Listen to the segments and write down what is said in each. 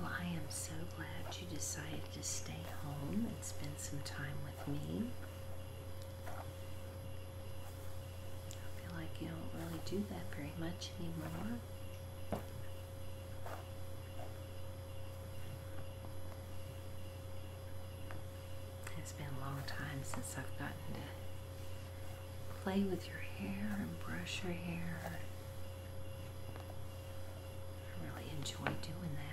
Well, I am so glad you decided to stay home and spend some time with me. I feel like you don't really do that very much anymore. It's been a long time since I've gotten to play with your hair and brush your hair. I really enjoy doing that.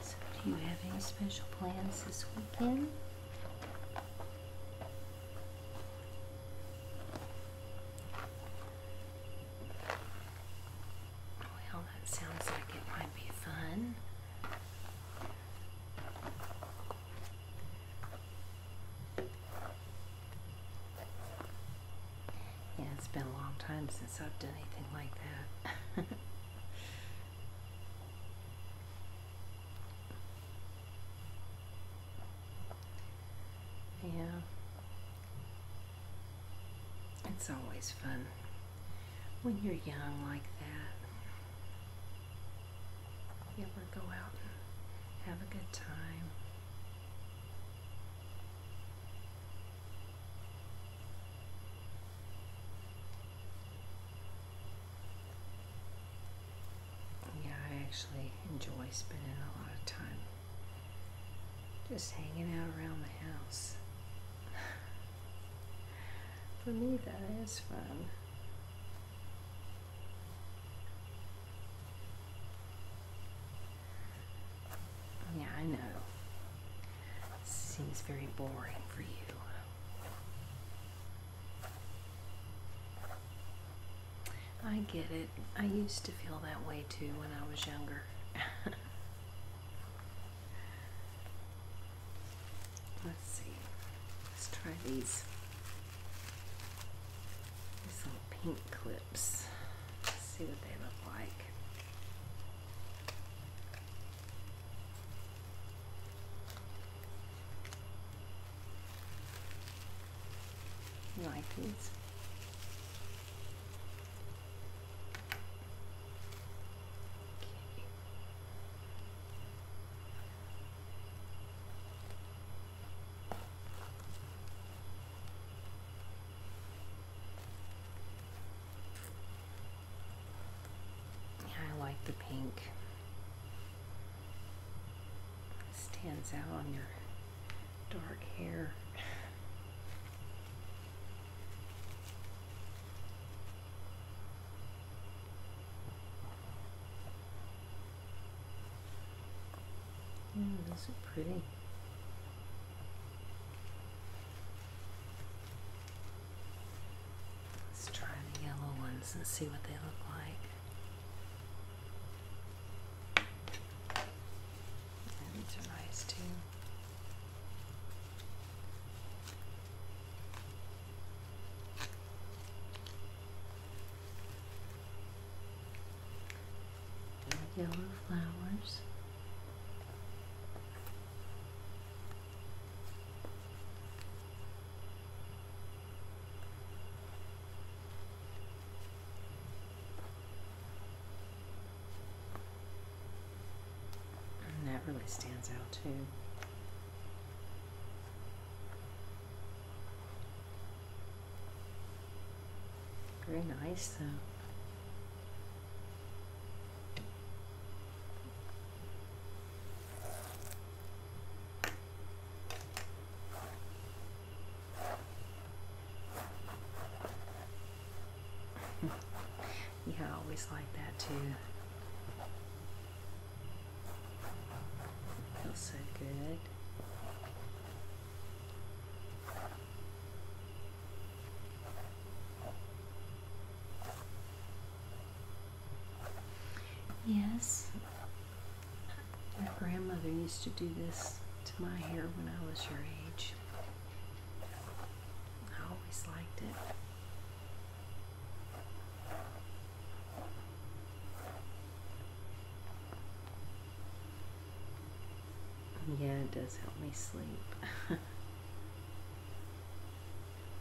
So do you have any special plans this weekend? Well, that sounds like it might be fun. Yeah, it's been a long time since I've done anything like that. Yeah. It's always fun when you're young like that. You ever go out and have a good time? Yeah, I actually enjoy spending a lot of time just hanging out around the house. For me, that is fun. Yeah, I know. Seems very boring for you. I get it. I used to feel that way too when I was younger. Let's see. Let's try these. These little pink clips. Let's see what they look like. Like please. I like the pink. It stands out on your dark hair. Mm, those are pretty. Let's try the yellow ones and see what they look like. these are nice too. Yellow flowers. And that really stands out too. Very nice though yeah, I always like that too. feels so good. Yes. My grandmother used to do this to my hair when I was your age. I always liked it. Yeah, it does help me sleep.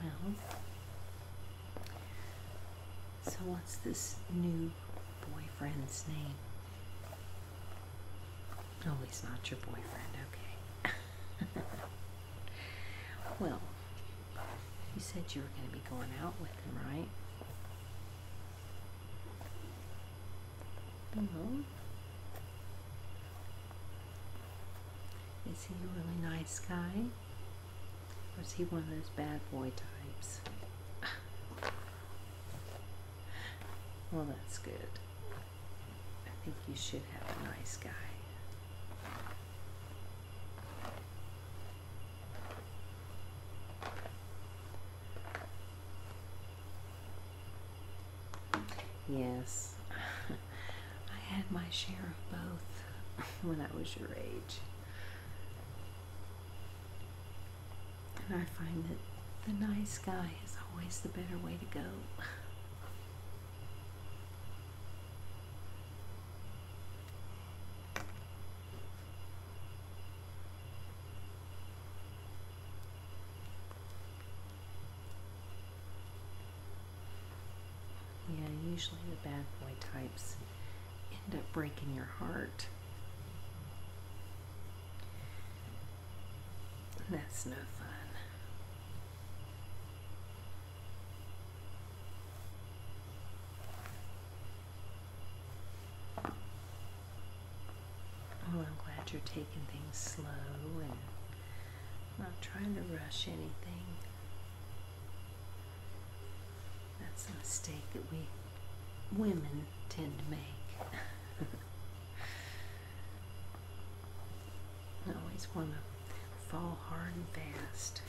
Well, so what's this new boyfriend's name? Oh, he's not your boyfriend, okay. well, you said you were going to be going out with him, right? Hello? Mm-hmm. Is he a really nice guy? Was he one of those bad boy types? well, that's good. I think you should have a nice guy. Yes, I had my share of both when I was your age. And I find that the nice guy is always the better way to go. Yeah, usually the bad boy types end up breaking your heart. That's no fun. Well, oh, I'm glad you're taking things slow and not trying to rush anything. That's a mistake that we women tend to make. always want to fall hard and fast.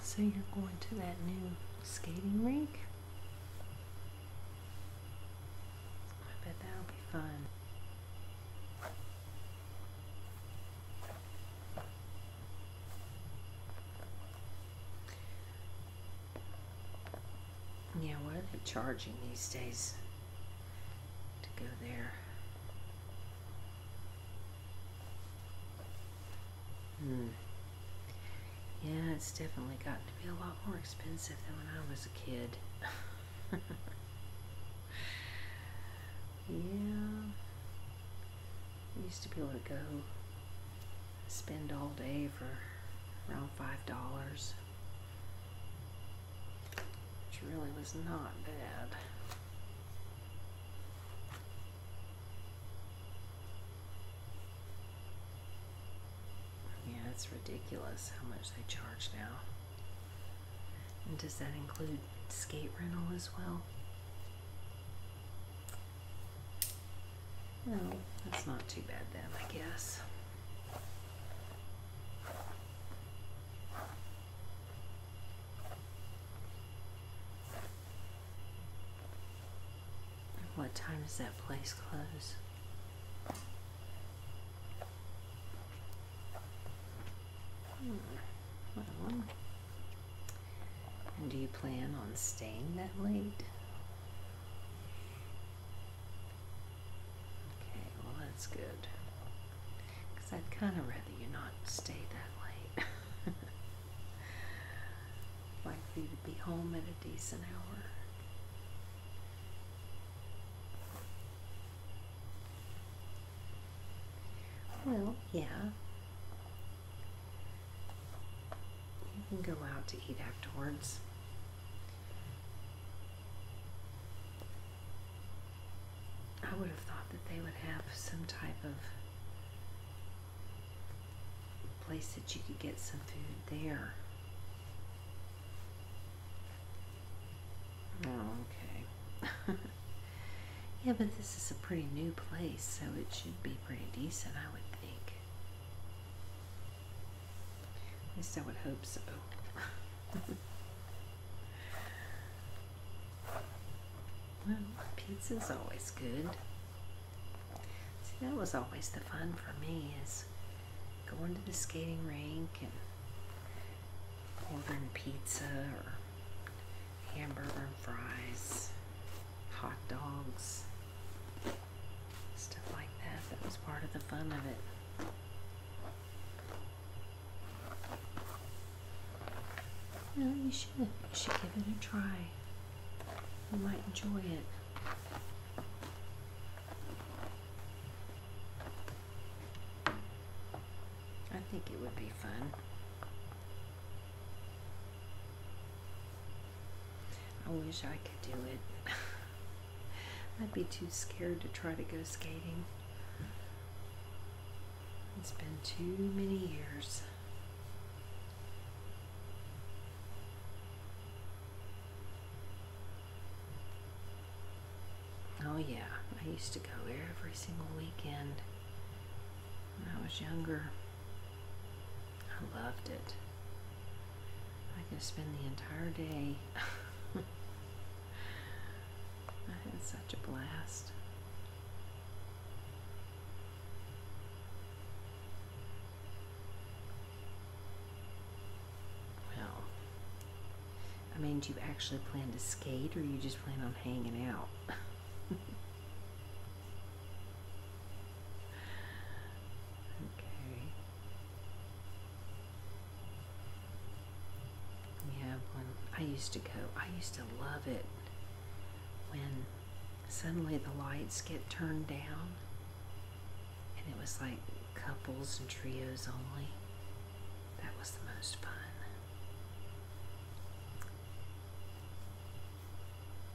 So you're going to that new skating rink? I bet that'll be fun. Yeah, what are they charging these days to go there? Hmm. Yeah, it's definitely gotten to be a lot more expensive than when I was a kid. yeah. I used to be able to go spend all day for around five dollars. Which really was not bad. Yeah, it's ridiculous how much they charge now. And does that include skate rental as well? No, that's not too bad then, I guess. What time does that place close? Hmm. Well, and do you plan on staying that late? Okay, well, that's good. Because I'd kind of rather you not stay that late. like you to be home at a decent hour. Well, yeah. You can go out to eat afterwards. I would have thought that they would have some type of place that you could get some food there. Oh, okay. yeah, but this is a pretty new place, so it should be pretty decent, I would think. At least I would hope so. well, pizza's always good. See, that was always the fun for me is going to the skating rink and ordering pizza or hamburger and fries, hot dogs, stuff like that. That was part of the fun of it. No, you should. You should give it a try. You might enjoy it. I think it would be fun. I wish I could do it. I'd be too scared to try to go skating. It's been too many years. Oh, yeah, I used to go every single weekend when I was younger. I loved it. I could spend the entire day. I had such a blast. Well, I mean, do you actually plan to skate or you just plan on hanging out? okay. We have I used to go, I used to love it when suddenly the lights get turned down and it was like couples and trios only that was the most fun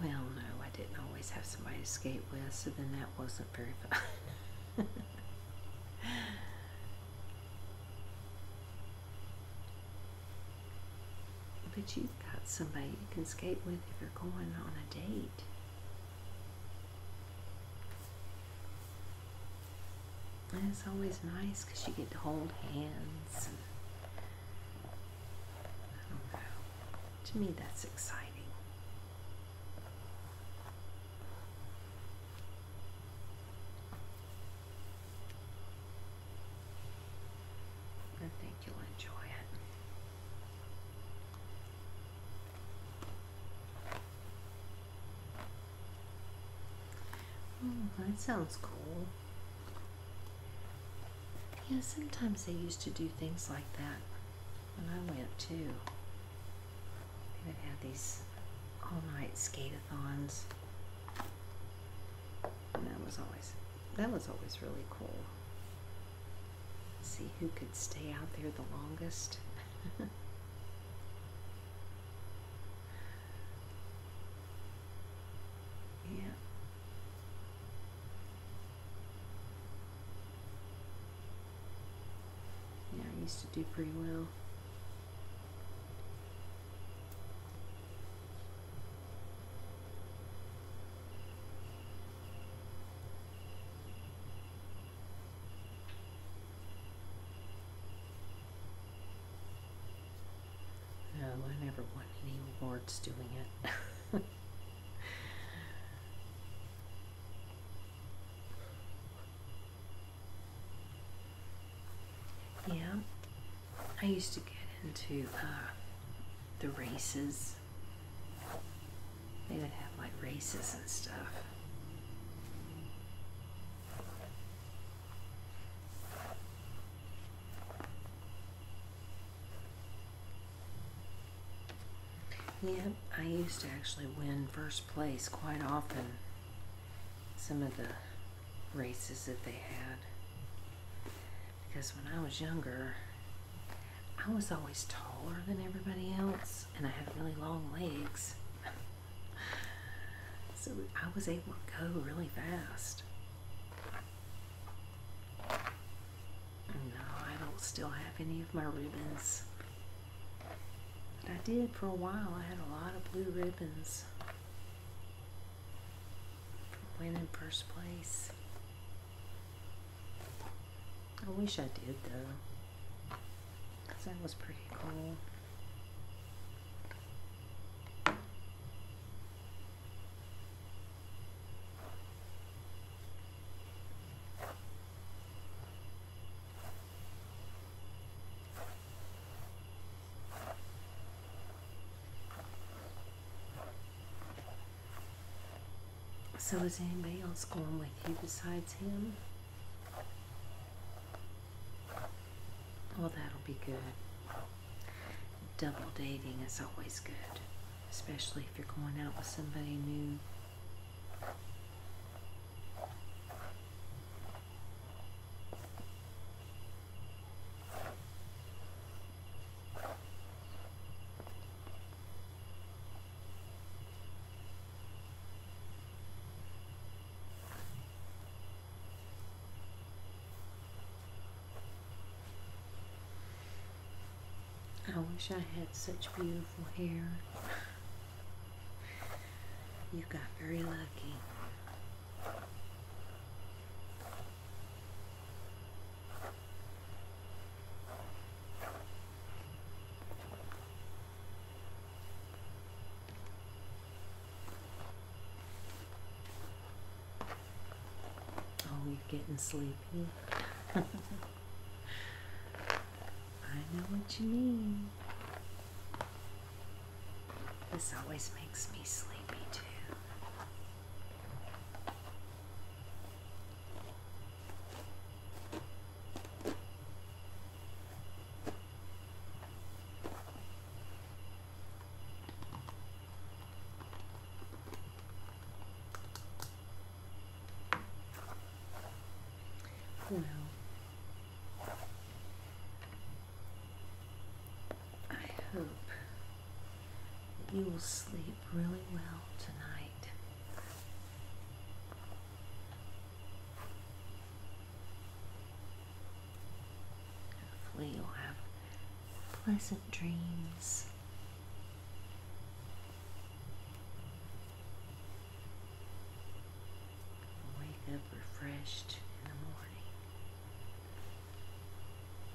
well no i didn't always have somebody to skate with so then that wasn't very fun but you got somebody you can skate with if you're going on a date. it's always nice because you get to hold hands. I don't know. To me, that's exciting you'll enjoy it. Oh, that sounds cool. Yeah, sometimes they used to do things like that and I went too. They would have these all night skate-a-thons. And that was always that was always really cool. See who could stay out there the longest. yeah. Yeah, I used to do pretty well. No, I never won any awards doing it. yeah, I used to get into uh, the races they would have like races and stuff. Yeah, I used to actually win first place quite often. Some of the races that they had. Because when I was younger, I was always taller than everybody else, and I had really long legs. so I was able to go really fast. No, I don't still have any of my ribbons. But I did for a while. I had a lot of blue ribbons. From winning first place. I wish I did though. Because that was pretty cool. So is anybody else going with you besides him? Well, that'll be good. Double dating is always good, especially if you're going out with somebody new. I wish I had such beautiful hair. You got very lucky. Oh, you're getting sleepy. I know what you mean. This always makes me sleepy too. Well, I hope you will sleep really well tonight. Hopefully, you'll have pleasant dreams. Wake up refreshed in the morning.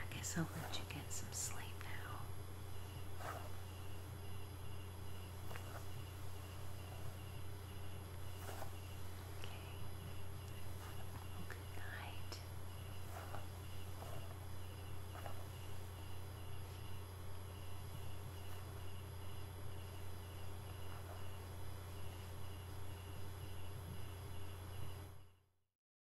I guess I'll let you get some sleep now. Okay. good night.